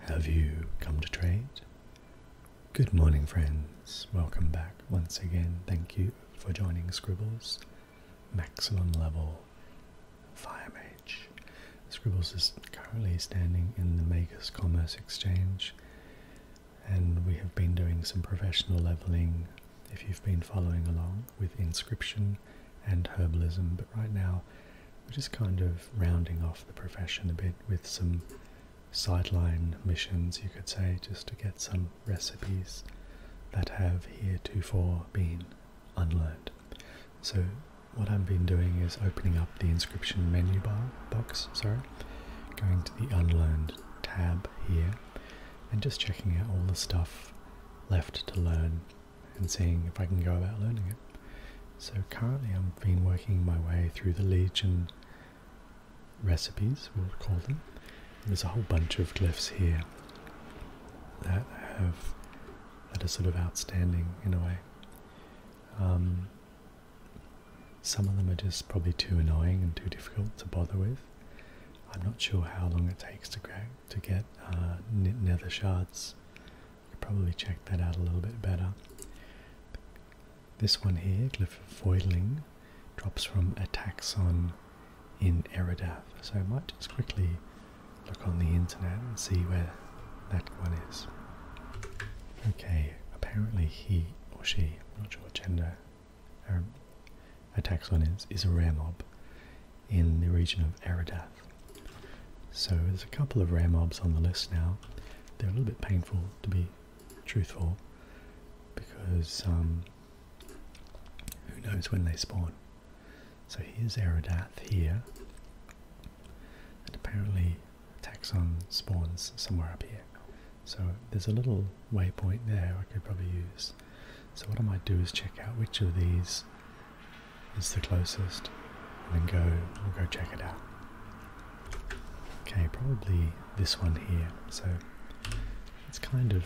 Have you come to trade? Good morning, friends. Welcome back once again. Thank you for joining Scribbles. Maximum level Fire Mage. Scribbles is currently standing in the Magus Commerce Exchange, and we have been doing some professional leveling if you've been following along with inscription and herbalism, but right now we're just kind of rounding off the profession a bit with some sideline missions, you could say, just to get some recipes that have heretofore been unlearned. So what I've been doing is opening up the inscription menu bar box, sorry, going to the unlearned tab here, and just checking out all the stuff left to learn and seeing if I can go about learning it. So currently I've been working my way through the Legion recipes, we'll call them. There's a whole bunch of glyphs here that have that are sort of outstanding in a way. Um, some of them are just probably too annoying and too difficult to bother with. I'm not sure how long it takes to, to get uh, nether shards could probably check that out a little bit better. This one here, glyph of Glyphoidling, drops from a taxon in Eridath. So I might just quickly look on the internet and see where that one is. Okay, apparently he or she, I'm not sure what gender um, a taxon is, is a rare mob in the region of Eridath. So there's a couple of rare mobs on the list now. They're a little bit painful to be truthful because um, who knows when they spawn. So here's Aerodath here and apparently Taxon spawns somewhere up here. So there's a little waypoint there I could probably use. So what I might do is check out which of these is the closest and then go we'll go check it out okay probably this one here so it's kind of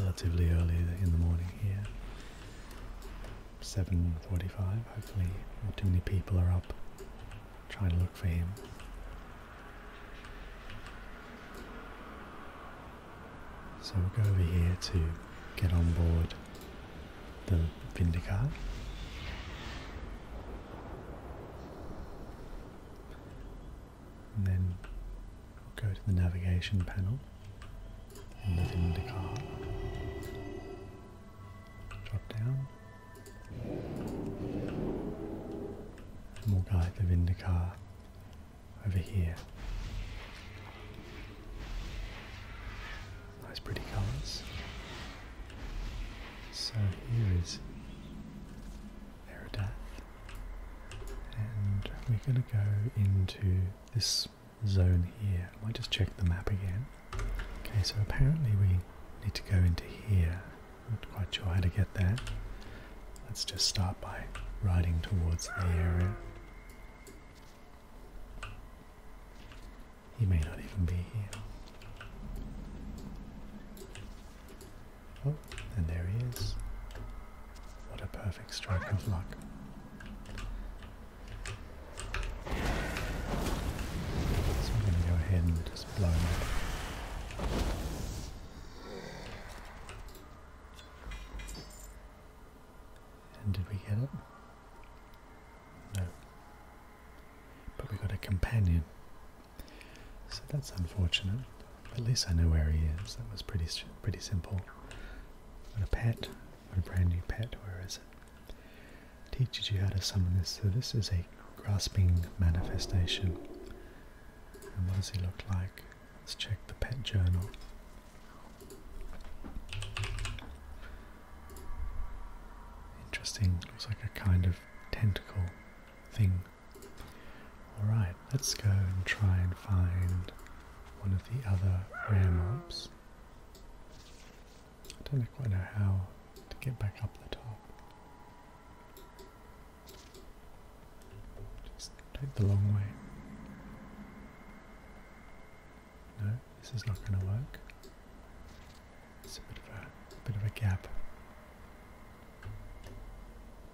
relatively early in the morning here 7.45 hopefully not too many people are up trying to look for him so we'll go over here to get on board the Vindicar. And then go to the navigation panel in the Vindicar. Drop down. And we'll guide the Vindicar over here Nice pretty colours. So here is Aerodath. And we're going to go into this zone here. I might just check the map again. Okay, so apparently we need to go into here. Not quite sure how to get there. Let's just start by riding towards the area. He may not even be here. Oh, and there he is. What a perfect strike of luck. So I'm going to go ahead and just blow him up. And did we get it? No. But we got a companion. So that's unfortunate. At least I know where he is. That was pretty pretty simple. Got a pet, got a brand new pet. Where is it? Teaches you how to summon this. So this is a grasping manifestation. And what does he look like? Let's check the pet journal. Interesting, looks like a kind of tentacle thing. Alright, let's go and try and find one of the other rare mobs. I don't quite know how to get back up the top. Just take the long way. No, this is not going to work. It's a bit of a, bit of a gap.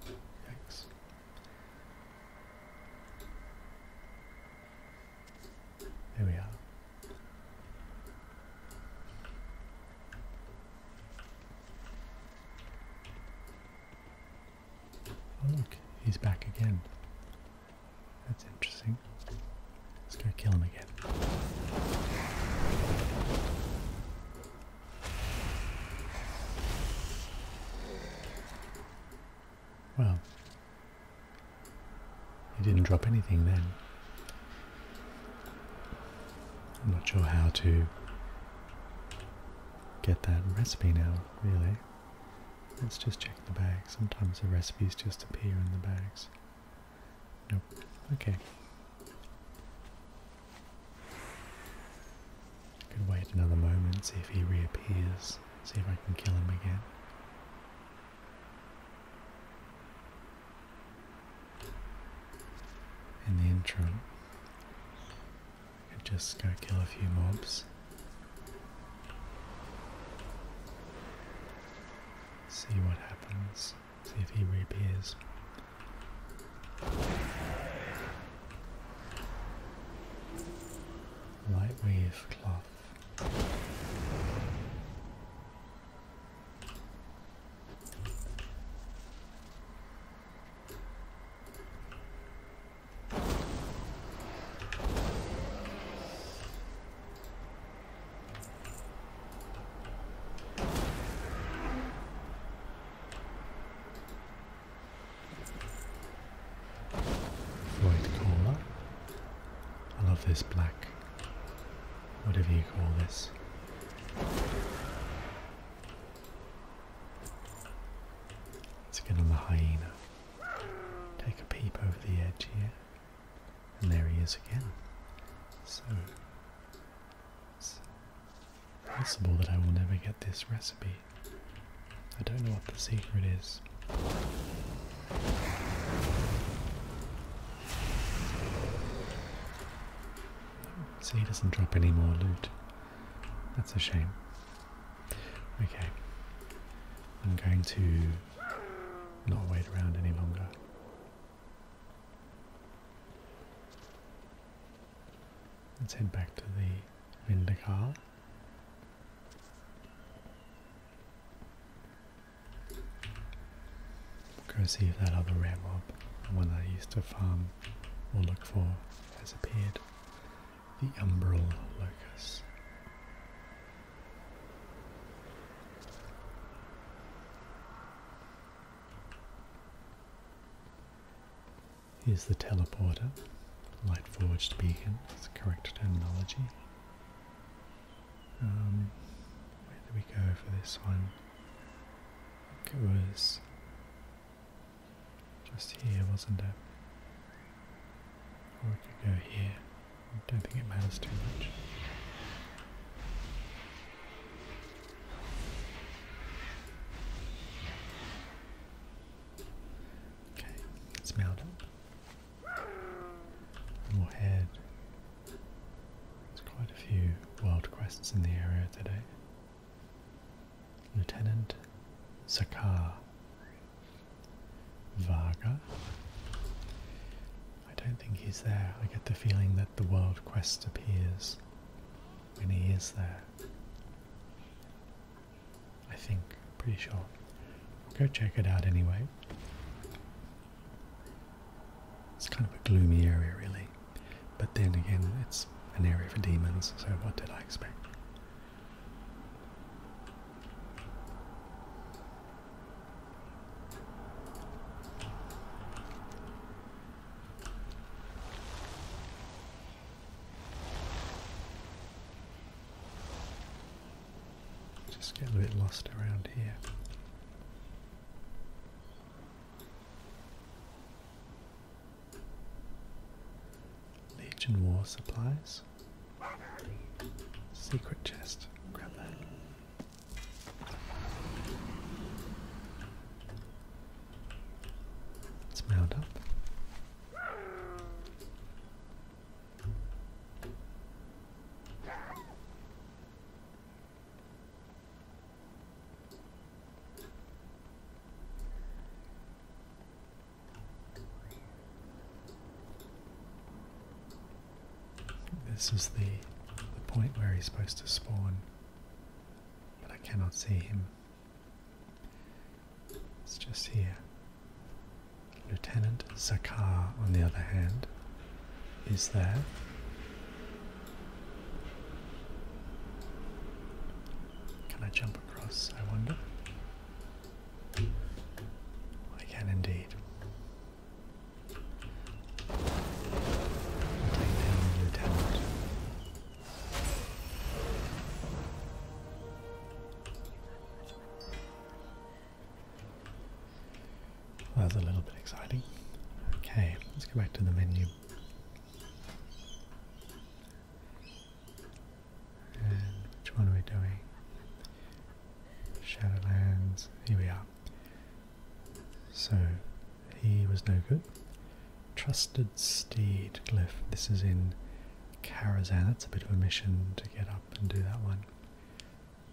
Yikes. There we are. Oh, look, he's back again. That's interesting. Let's go kill him again. Wow. he didn't drop anything then. I'm not sure how to get that recipe now, really. Let's just check the bag. Sometimes the recipes just appear in the bags. Nope. Okay. I Could wait another moment, see if he reappears, see if I can kill him again. In the intro, could just go kill a few mobs. See what happens. See if he reappears. Light weave cloth. White cola. I love this black, whatever you call this. Let's get on the hyena. Take a peep over the edge here. And there he is again. So, it's possible that I will never get this recipe. I don't know what the secret is. See, he doesn't drop any more loot. That's a shame. Okay, I'm going to not wait around any longer. Let's head back to the vendor car. Go see if that other ram mob, the one I used to farm or look for, has appeared the umbral locus. Here's the teleporter, light forged beacon, It's correct terminology. Um, where do we go for this one? It was just here, wasn't it? Or we could go here. I don't think it matters too much. Okay, it's mounted. And we'll head. There's quite a few wild quests in the area today. Lieutenant Zakar Varga. I don't think he's there. I get the feeling that the world quest appears when he is there. I think, pretty sure. go check it out anyway. It's kind of a gloomy area, really. But then again, it's an area for demons, so what did I expect? Just getting a bit lost around here. Legion War supplies. Secret chest. Grab that. It's mound this is the, the point where he's supposed to spawn, but I cannot see him. It's just here. Lieutenant Zakar, on the other hand, is there. Can I jump across, I wonder? I can indeed. Take down the lieutenant. that's a little bit exciting. Okay, let's go back to the menu which one are we doing? Shadowlands. Here we are. So he was no good. Trusted Steed Glyph. This is in Karazan. That's a bit of a mission to get up and do that one.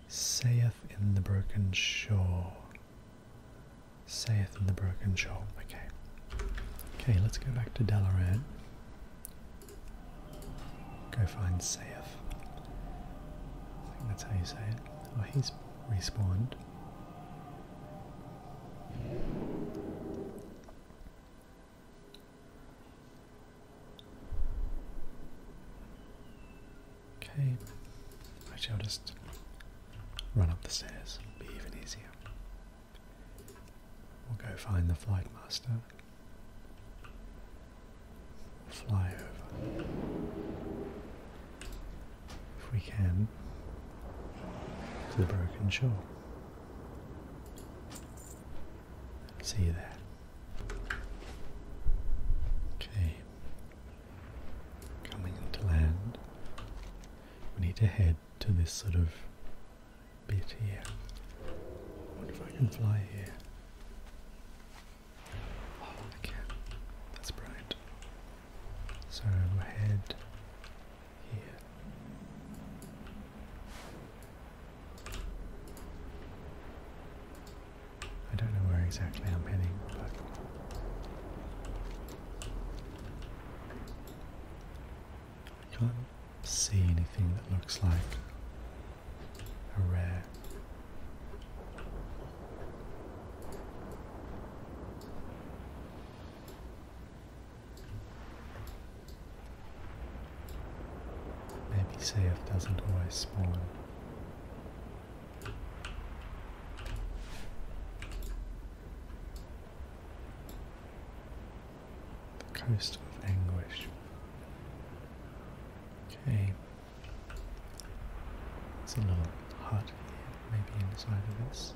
Saith in the Broken Shore. Saith in the Broken Shore. Okay. Okay, let's go back to Dalaran. Go find Saif. I think that's how you say it. Oh, he's respawned. Okay, I'll just run up the stairs, it'll be even easier. We'll go find the flight master. Fly over. If we can, to the broken shore. See you there. Okay. Coming into land. We need to head to this sort of bit here. I wonder if I can fly here. Oh, I can. That's bright. So head here. I don't know where exactly I'm heading, but I can't see anything that looks like a rare. Maybe CF doesn't always spawn the coast of anguish. Okay, there's a little hot here, maybe inside of this.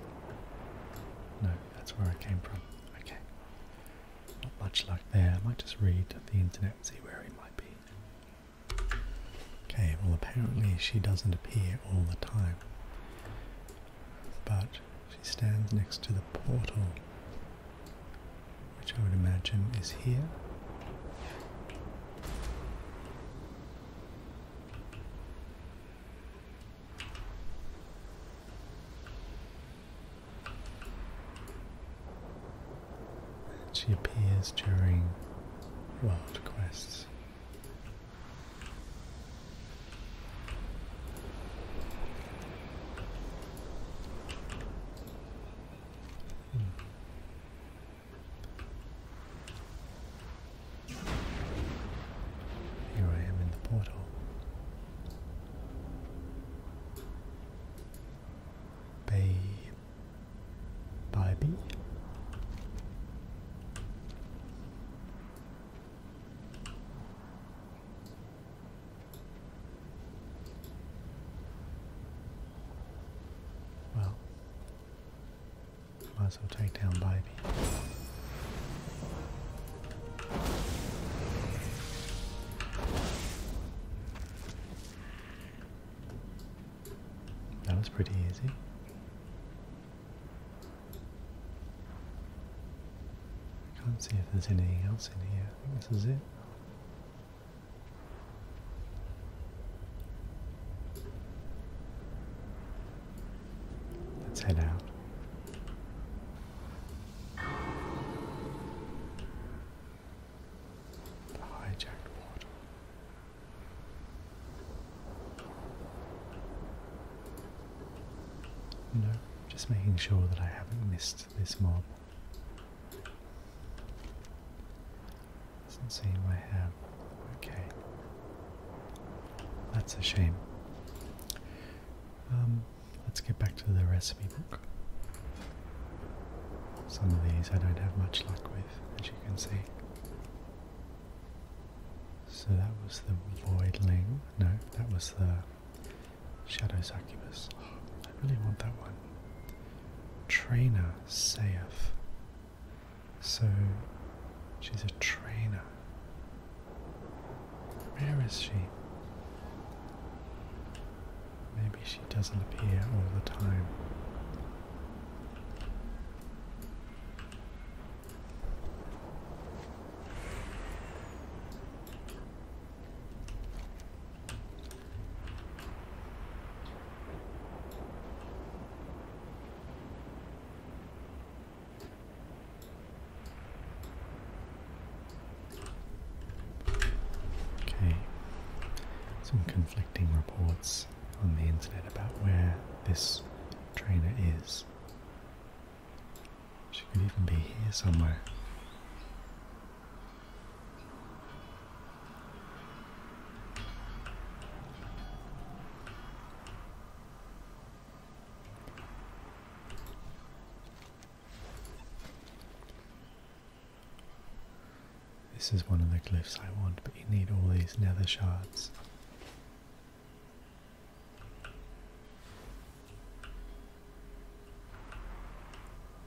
No, that's where I came from. Okay, not much luck there. I might just read the internet and see where it might be. Okay, well, apparently she doesn't appear all the time but she stands next to the portal, which I would imagine is here. And she appears during world quests. Here I am in the portal. Bay Baby well, might as well down baby. That was pretty easy. I can't see if there's anything else in here. I think this is it. Let's head out. The hijacked portal. No, just making sure that I haven't missed this mob. Doesn't seem I have. Okay. That's a shame. Um, let's get back to the recipe book. Some of these I don't have much luck with, as you can see. So that was the Voidling. No, that was the Shadow Succubus. I really want that one. Trainer Saith. So she's a trainer. Where is she? Maybe she doesn't appear all the time. Okay, some conflicting reports on the internet about where this trainer is. She could even be here somewhere. This is one of the glyphs I want, but you need all these nether shards.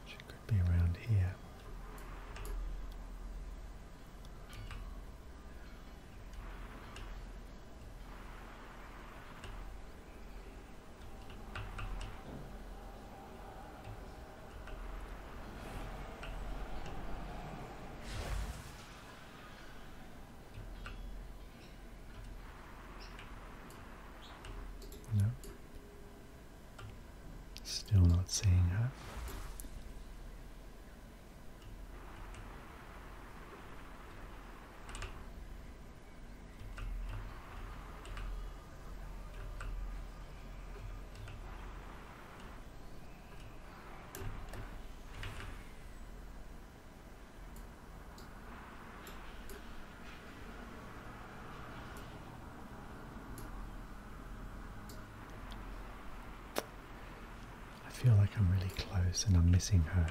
She could be around here. No. Still not seeing her. I feel like I'm really close and I'm missing her.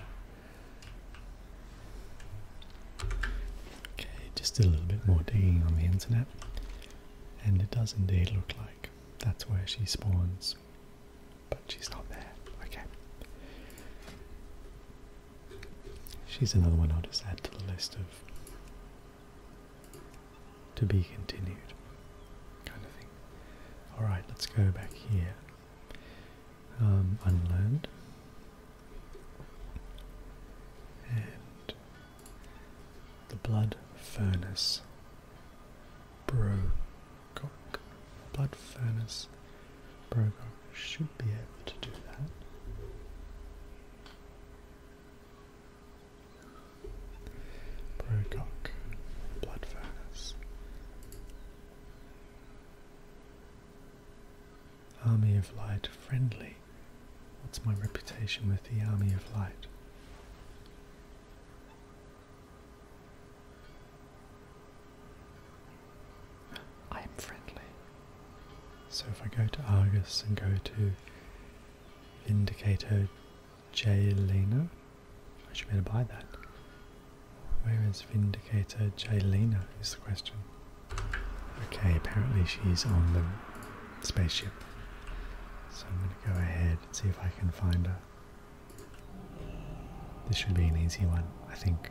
Okay, just a little bit more digging on the internet, and it does indeed look like that's where she spawns. But she's not there. Okay. She's another one I'll just add to the list of to be continued kind of thing. Alright, let's go back here. Um, And the blood furnace. Brocock. Blood Furnace. Brocock should be able to do that. Brocock. Blood Furnace. Army of Light friendly. What's my reputation with the Army of Light? I am friendly. So if I go to Argus and go to Vindicator J. Lena, I should be able to buy that. Where is Vindicator J. Lena is the question. Okay, apparently she's on the spaceship. So I'm going to go ahead and see if I can find her. This should be an easy one, I think.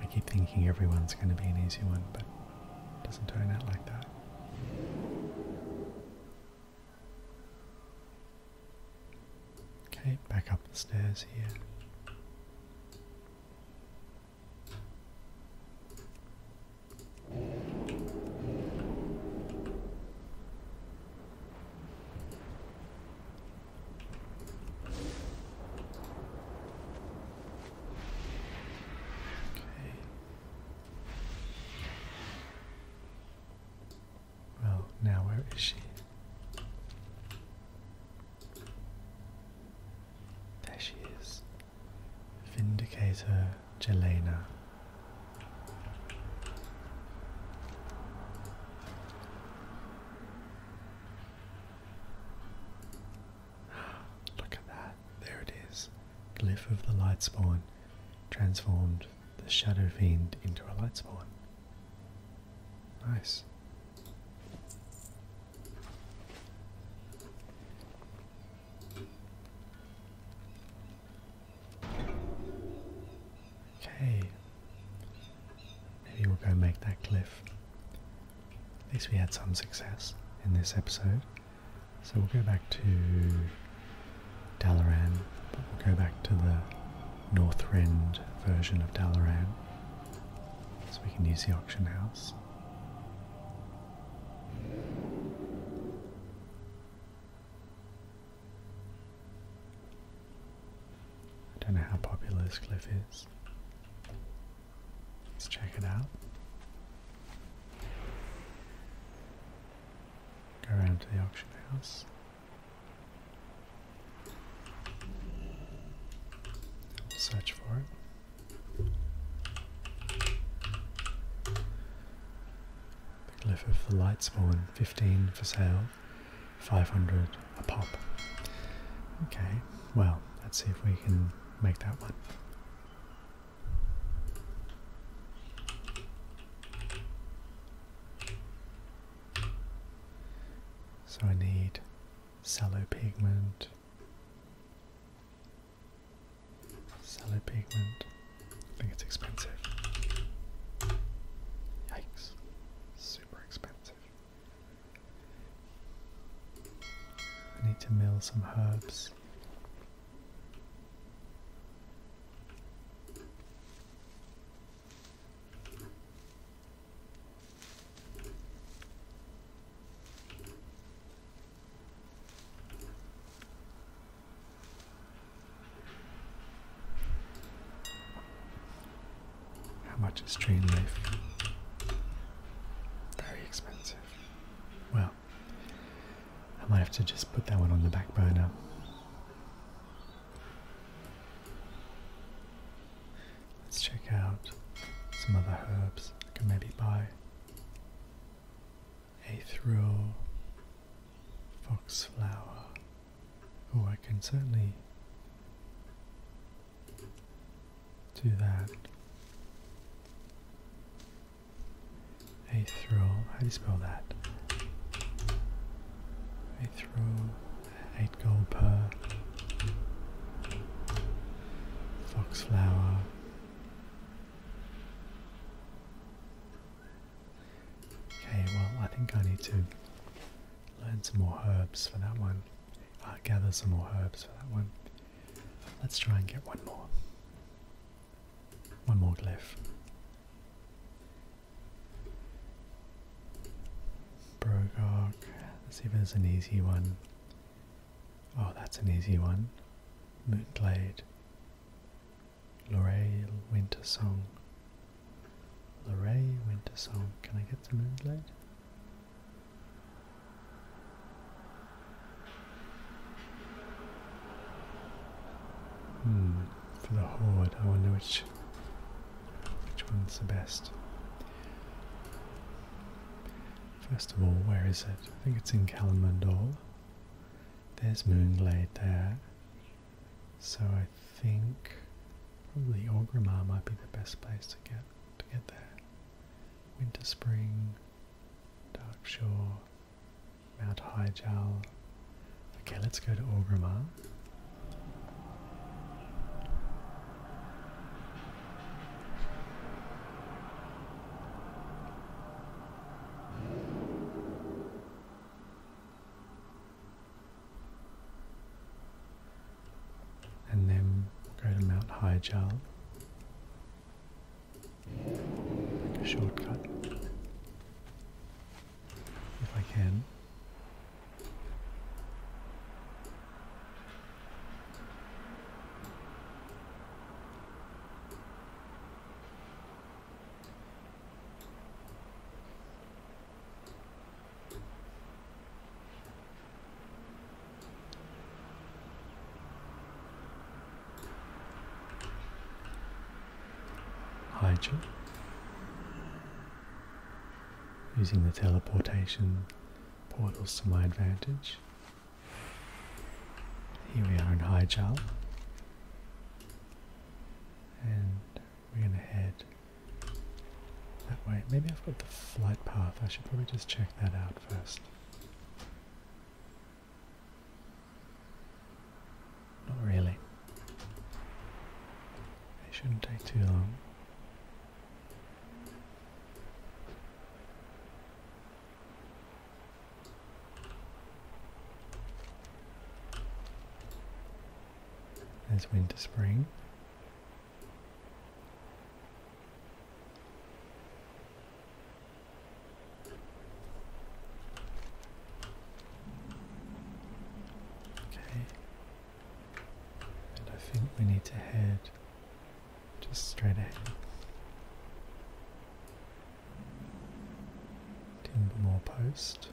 I keep thinking everyone's going to be an easy one, but it doesn't turn out like that. Okay, back up the stairs here. Okay. Well, now where is she? There she is. Vindicator Jelena. Look at that. There it is. Glyph of the Lightspawn transformed the Shadow Fiend into a Lightspawn. Nice. Okay. Maybe we'll go make that cliff. At least we had some success in this episode. So we'll go back to Dalaran, but we'll go back to the Northrend version of Dalaran. So we can use the auction house. I don't know how popular this cliff is. Let's check it out. Go around to the auction house. Search for it. The Glyph of the Light 15 for sale, 500 a pop. Okay, well, let's see if we can make that one. So I need sallow pigment, sallow pigment, I think it's expensive. Yikes. Super expensive. need to mill some herbs. How much is tree leaf? Very expensive. Well, I might have to just put that one on the back burner. Let's check out some other herbs I can maybe buy a thrill foxflower. Oh, I can certainly do that. A thrill, how do you spell that? A thrill, 8 gold per foxflower. Okay, well, I think I need to learn some more herbs for that one. Uh, gather some more herbs for that one. Let's try and get one more. One more glyph. Brogok. Let's see if it's an easy one. Oh, that's an easy one. Moonblade. Lorraine Winter Song. Lorraine Winter Song. Can I get some moonlight? Hmm, for the horde, I wonder which which one's the best. First of all, where is it? I think it's in Kalamandal. There's Moonglade there. So I think probably Orgrimmar might be the best place to get to get there. Winter Spring, Dark Shore, Mount Highjal. Okay, let's go to Orgrimmar and then go to Mount Hyjal. Make a shortcut if I can. Hydra using the teleportation portals to my advantage. Here we are in Hyjal. And we're going to head that way. Maybe I've got the flight path. I should probably just check that out first. Not really. It shouldn't take too long. There's winter spring. Okay. And I think we need to head just straight ahead. Timbermore Post.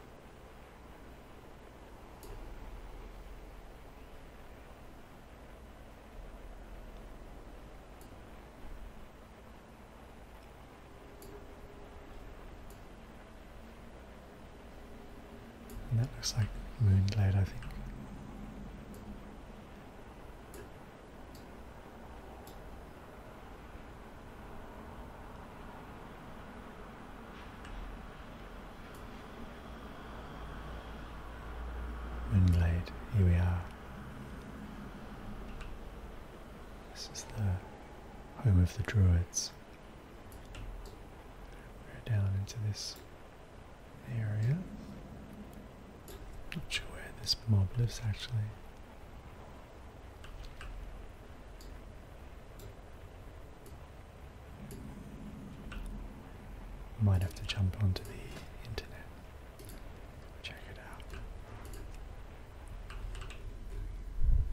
And that looks like Moonlight, I think. Moonlight, here we are. This is the home of the Druids. we down into this area. Not sure where this mob lives actually. Might have to jump onto the internet. Check it out.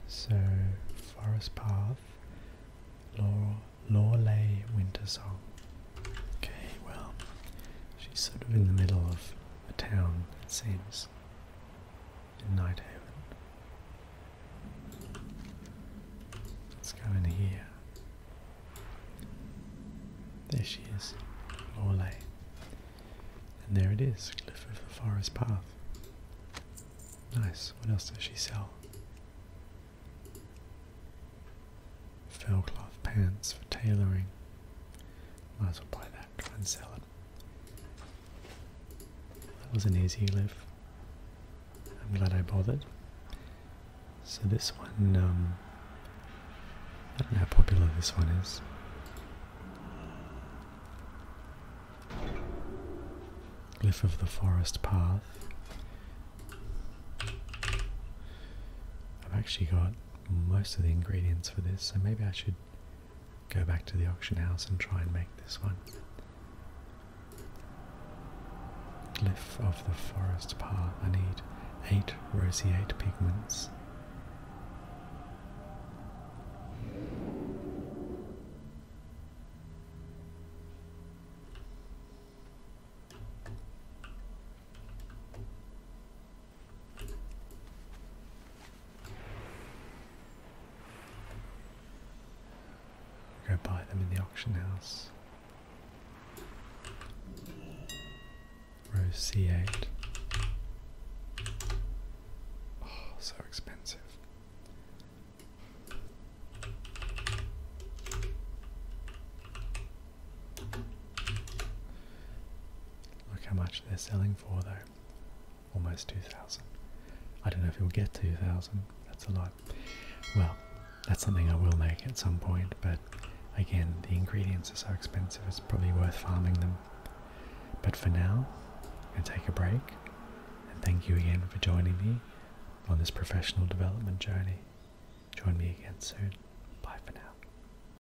So, Forest Path, Law, Lawley Winter Song. Okay, well, she's sort of in the middle of a town, it seems in Nighthaven. Let's go in here. There she is, Morley. And there it is, Cliff of the Forest Path. Nice, what else does she sell? Fellcloth pants for tailoring. Might as well buy that, try and sell it. That was not easy live. I'm glad I bothered. So this one, um, I don't know how popular this one is. Glyph of the Forest Path. I've actually got most of the ingredients for this, so maybe I should go back to the auction house and try and make this one. Glyph of the Forest Path. I need eight roseate pigments. Go buy them in the auction house. Row C8. Oh, so expensive. Look how much they're selling for though. Almost 2,000. I don't know if you'll get 2,000. That's a lot. Well, that's something I will make at some point, but again, the ingredients are so expensive, it's probably worth farming them. But for now, I'm going to take a break. And thank you again for joining me on this professional development journey. Join me again soon. Bye for now.